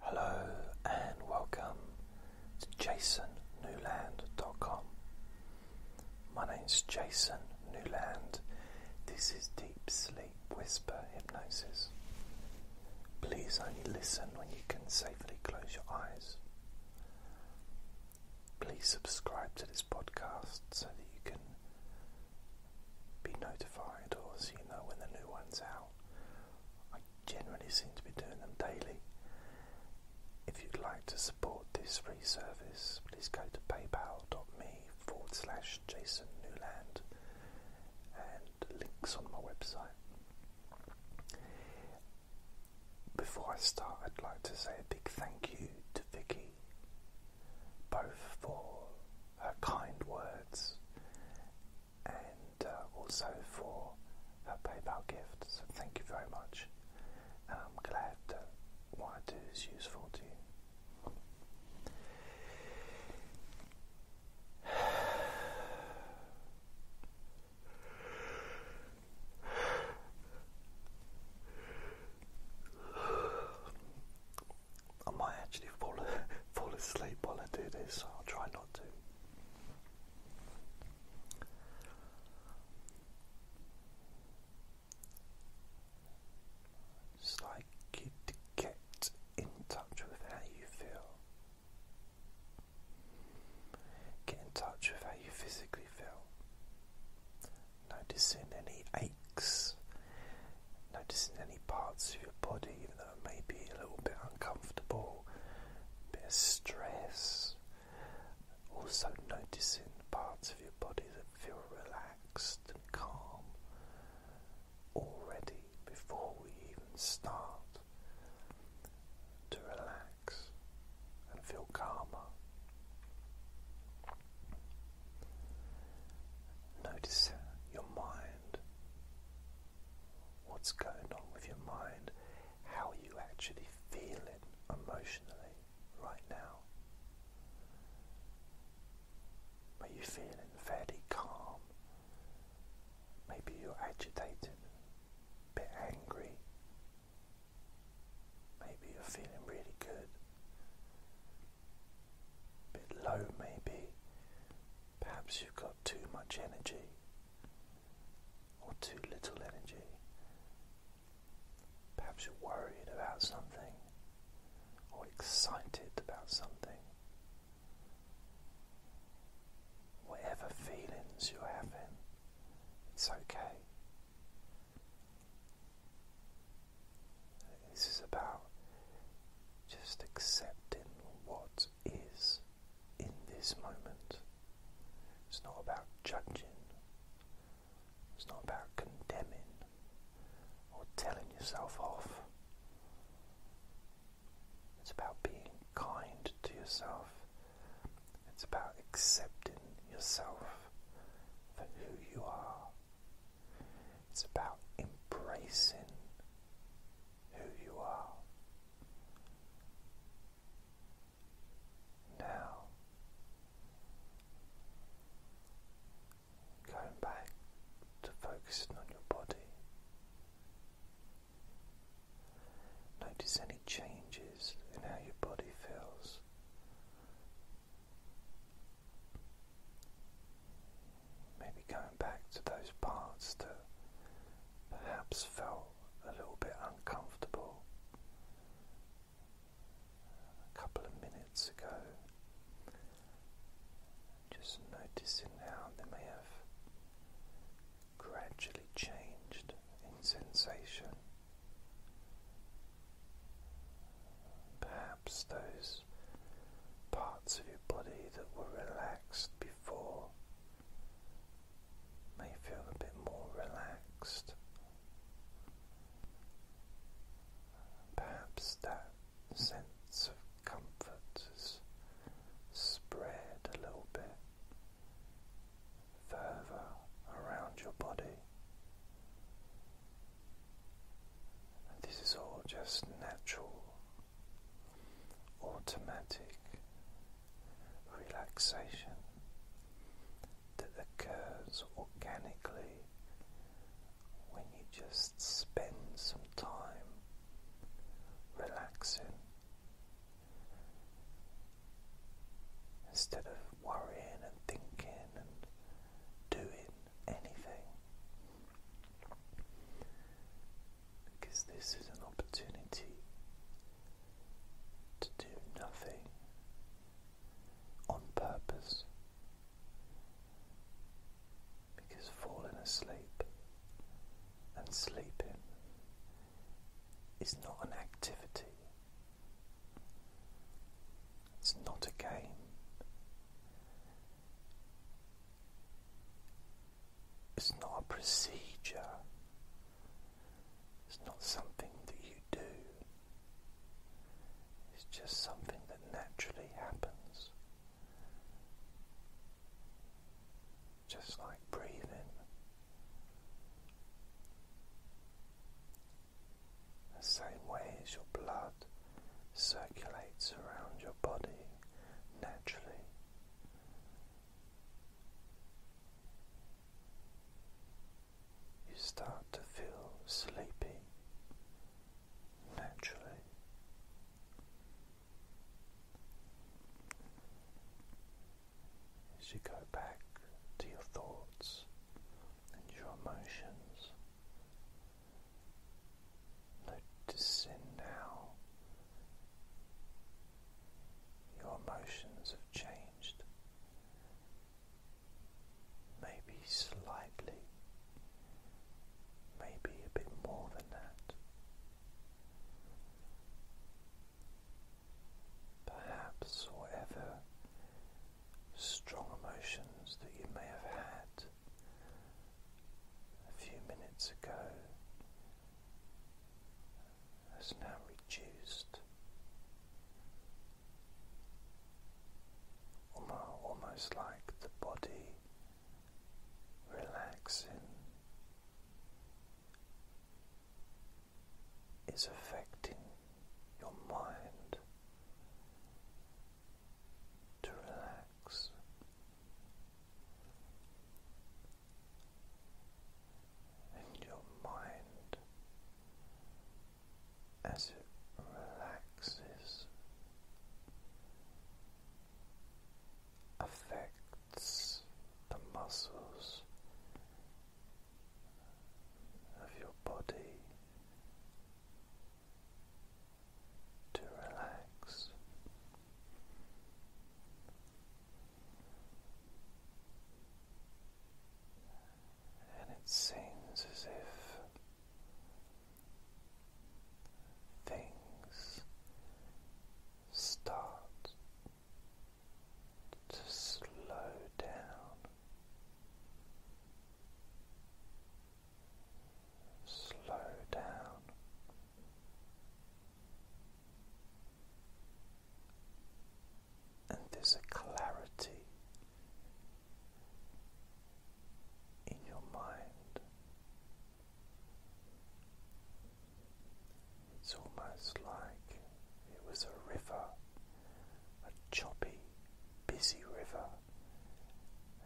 Hello and welcome to jasonnewland.com. My name is Jason Newland. This is Deep Sleep Whisper Hypnosis. Please only listen when you can safely close your eyes. Please subscribe to this podcast so that you can be notified or so you know when the new one's out. I generally seem to be doing them daily. If you'd like to support this free service, please go to paypal.me forward slash Jason Newland and links on my website. Before I start, I'd like to say a big thank you to Vicky, both for her kind words and uh, also for her PayPal gift. So thank you very much. I'm glad what I do is useful to you. I might actually fall fall asleep while I do this, I'll try not to. It's like you get in touch with how you feel. Get in touch with how you physically feel. Noticing any aches, noticing any parts of your body, even though it may be a little bit uncomfortable, a bit of stress. Also, noticing parts of your body that feel relaxed and calm already before we even start to relax and feel calmer. Notice your mind what's going on with your mind, how are you actually feeling emotionally right now. Are you feeling fairly calm? Maybe you're agitated, a bit angry. Maybe you're feeling really good. A bit low, maybe. Perhaps you've got too much energy or too little energy. Perhaps you're worried about something or excited about something. Whatever feelings you're having, it's okay. This is about just accepting what is in this moment. It's not about judging, it's not about condemning or telling yourself off. It's about being kind to yourself. It's about accepting yourself for who you are. It's about embracing who you are. Now, going back to focusing on your body, notice any changes in how your body feels maybe coming back to those parts that perhaps felt a little bit uncomfortable a couple of minutes ago. Just noticing now they may have gradually changed in sensation. Perhaps those parts of your body that were relaxed before before may feel a bit more relaxed. Perhaps that sense of comfort has spread a little bit further around your body. This is all just natural automatic relaxation that occurs organically when you just spend some time relaxing instead of worrying and thinking and doing anything because this is an opportunity to do nothing on purpose. Because falling asleep and sleeping is not an activity, it's not a game, it's not a procedure. It's not something that you do. It's just something that naturally happens. Just like breathing. The same way as your blood circulates around your body naturally. You start to feel sleepy naturally. As you go back to your thoughts and your emotions, Noticing now your emotions have changed, maybe slightly, maybe a bit more than that. Perhaps whatever strong emotions that you may have had a few minutes ago has now reduced almost like the body relaxing is affecting your mind to relax and your mind as it relaxes affects the muscles of your body to relax. And it seems as if things start to slow down, slow down and there's a clarity in your mind. It's almost like it was a river, a choppy, busy river,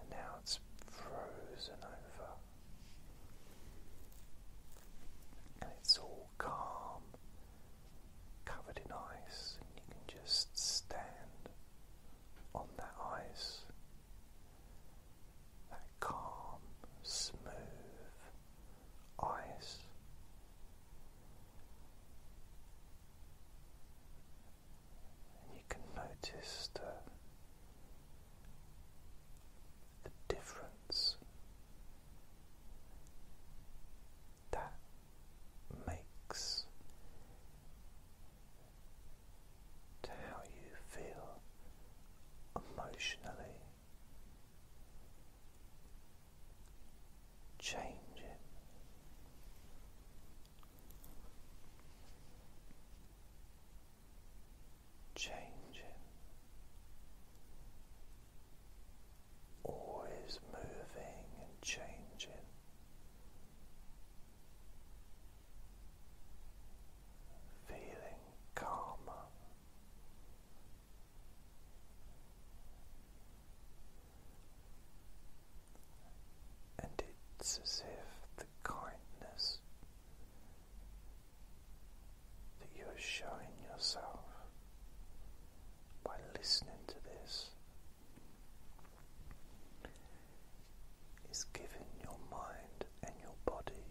and now it's frozen over and it's all calm, covered in ice, and you can just stand on that ice, that calm, smooth ice. And you can notice the the difference that makes to how you feel emotionally. Changing changing, always moving and changing. Feeling calmer, and it's as if the kindness that you are showing yourself by listening to this is giving your mind and your body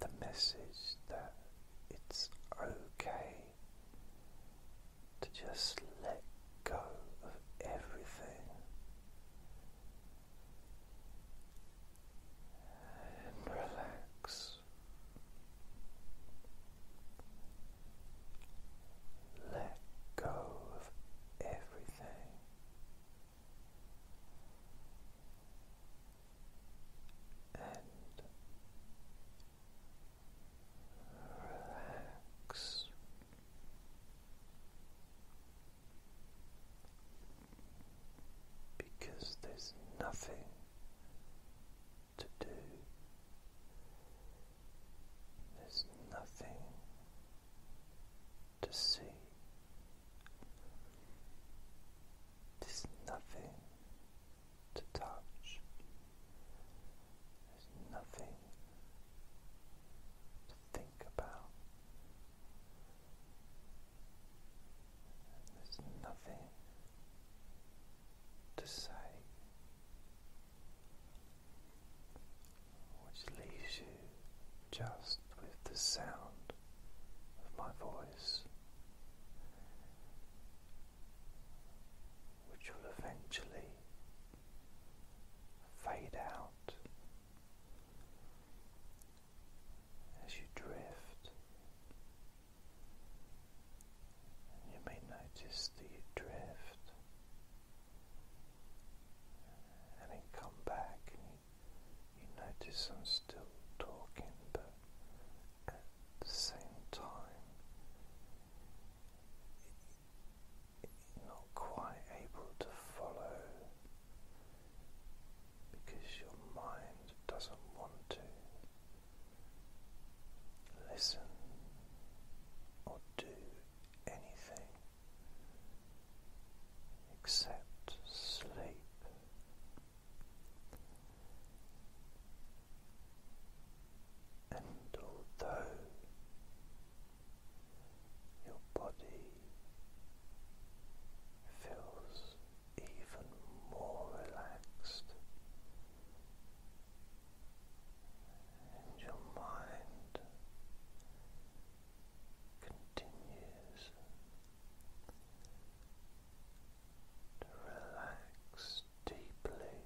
the message that it's okay to just let go of everything and relax. Let go of everything. And relax because there's nothing to do, there's nothing to see, there's nothing to touch, there's nothing think about. There's nothing to say, which leaves you just with the sound of my voice, which will eventually fade out as you drift, you may notice that you drift, and then come back, you, notice I'm still talking, but at the same time. not quite able to follow because your mind doesn't want to listen or do anything except sleep. And although your body feels even more relaxed, and your mind continues to deeply.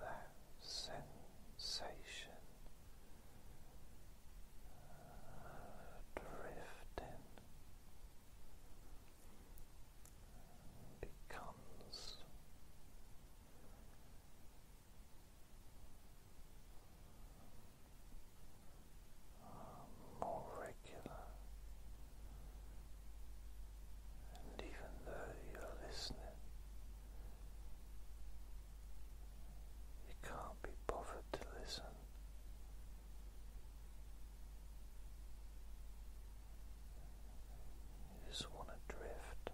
That sensation drifting becomes more regular, and even though you're listening. You can't be bothered to listen. You just want to drift.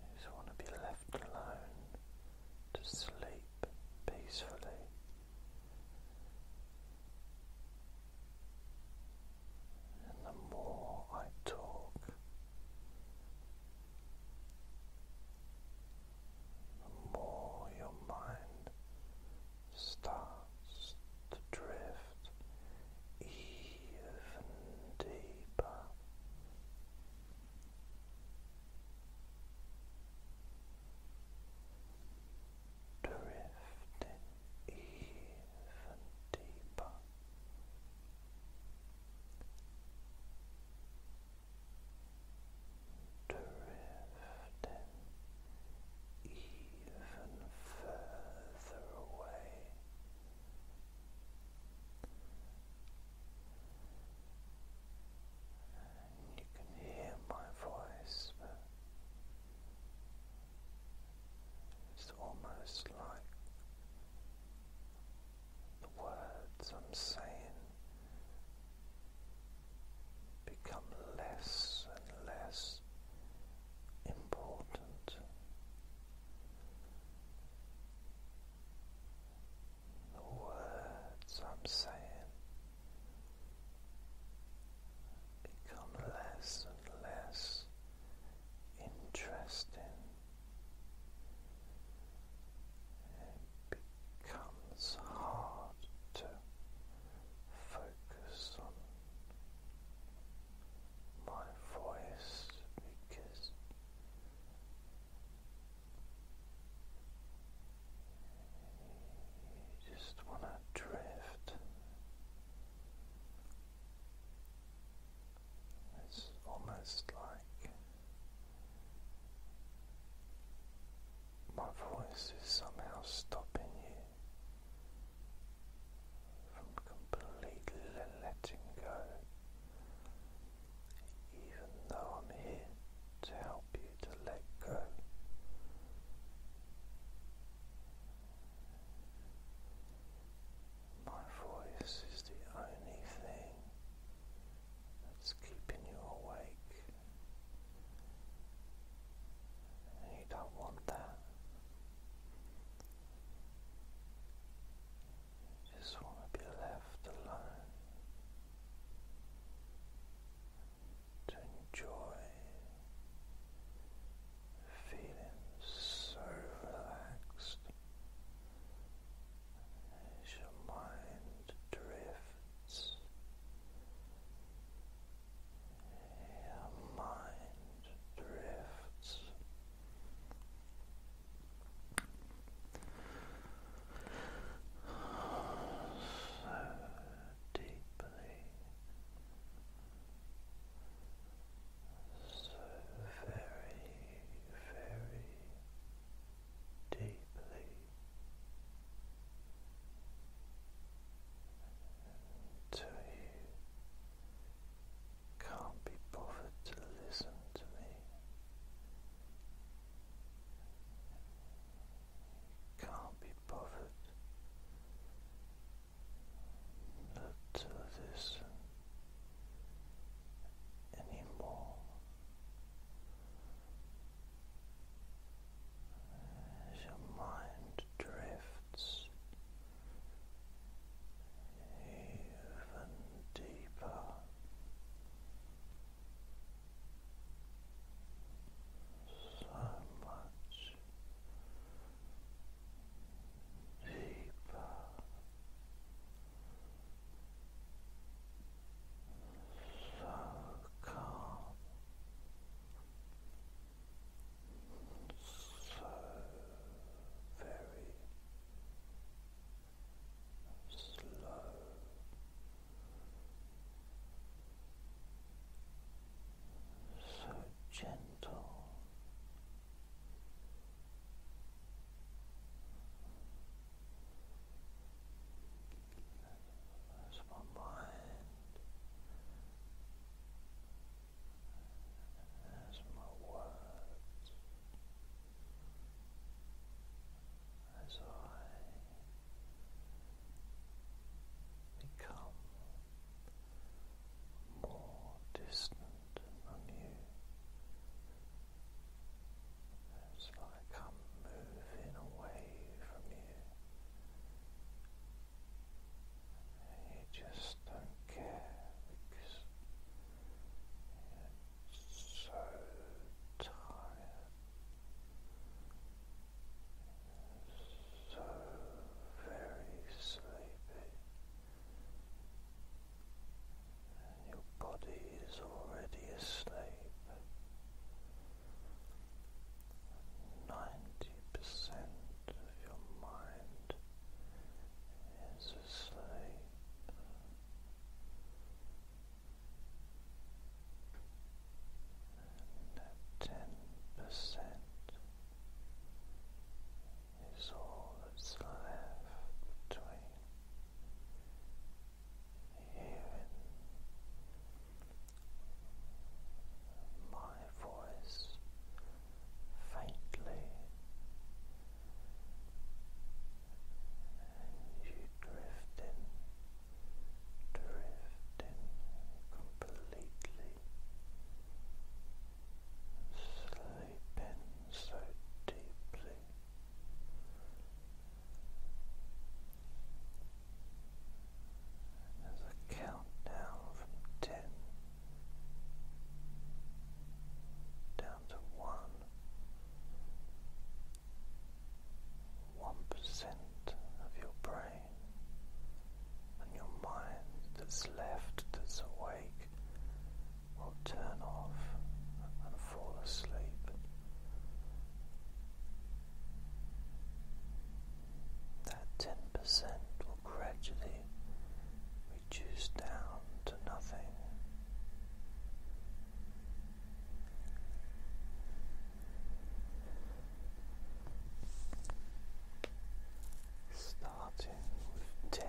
You just want to be left alone to sleep peacefully. And the more I talk, the more your mind starts to drift even deeper. Drifting even deeper drifting even further away. you can hear my voice, but it's almost like the words I'm saying become less and less important. The words I'm saying become less less interesting. becomes hard to focus on my voice because you just want to drift. It's almost like my voice is somehow stopping you from completely letting go, even though I'm here to help you to let go. My voice is the only thing that's keeping you awake, and you don't want that. You just want to be left alone to enjoy feeling so relaxed as your mind drifts. Your mind drifts. So deeply so very, very deeply until you can't be bothered to listen to me. can't be bothered to this anymore. As your mind drifts even deeper, so much deeper so calm, so very slow. So gentle, as my mind, as my words, as I become more distant on you. It's like I'm moving away from you. You just don't care because you're so tired, so very sleepy your body is already asleep. Ninety percent of your mind is asleep. And ten percent is all that's left between you and my voice faintly, and you drifting, drifting completely sleeping so deeply. As I count from ten down to one, one percent of your brain and your mind that's left that's awake will turn off and fall asleep. That 10% will gradually reduce down to nothing. Starting with ten,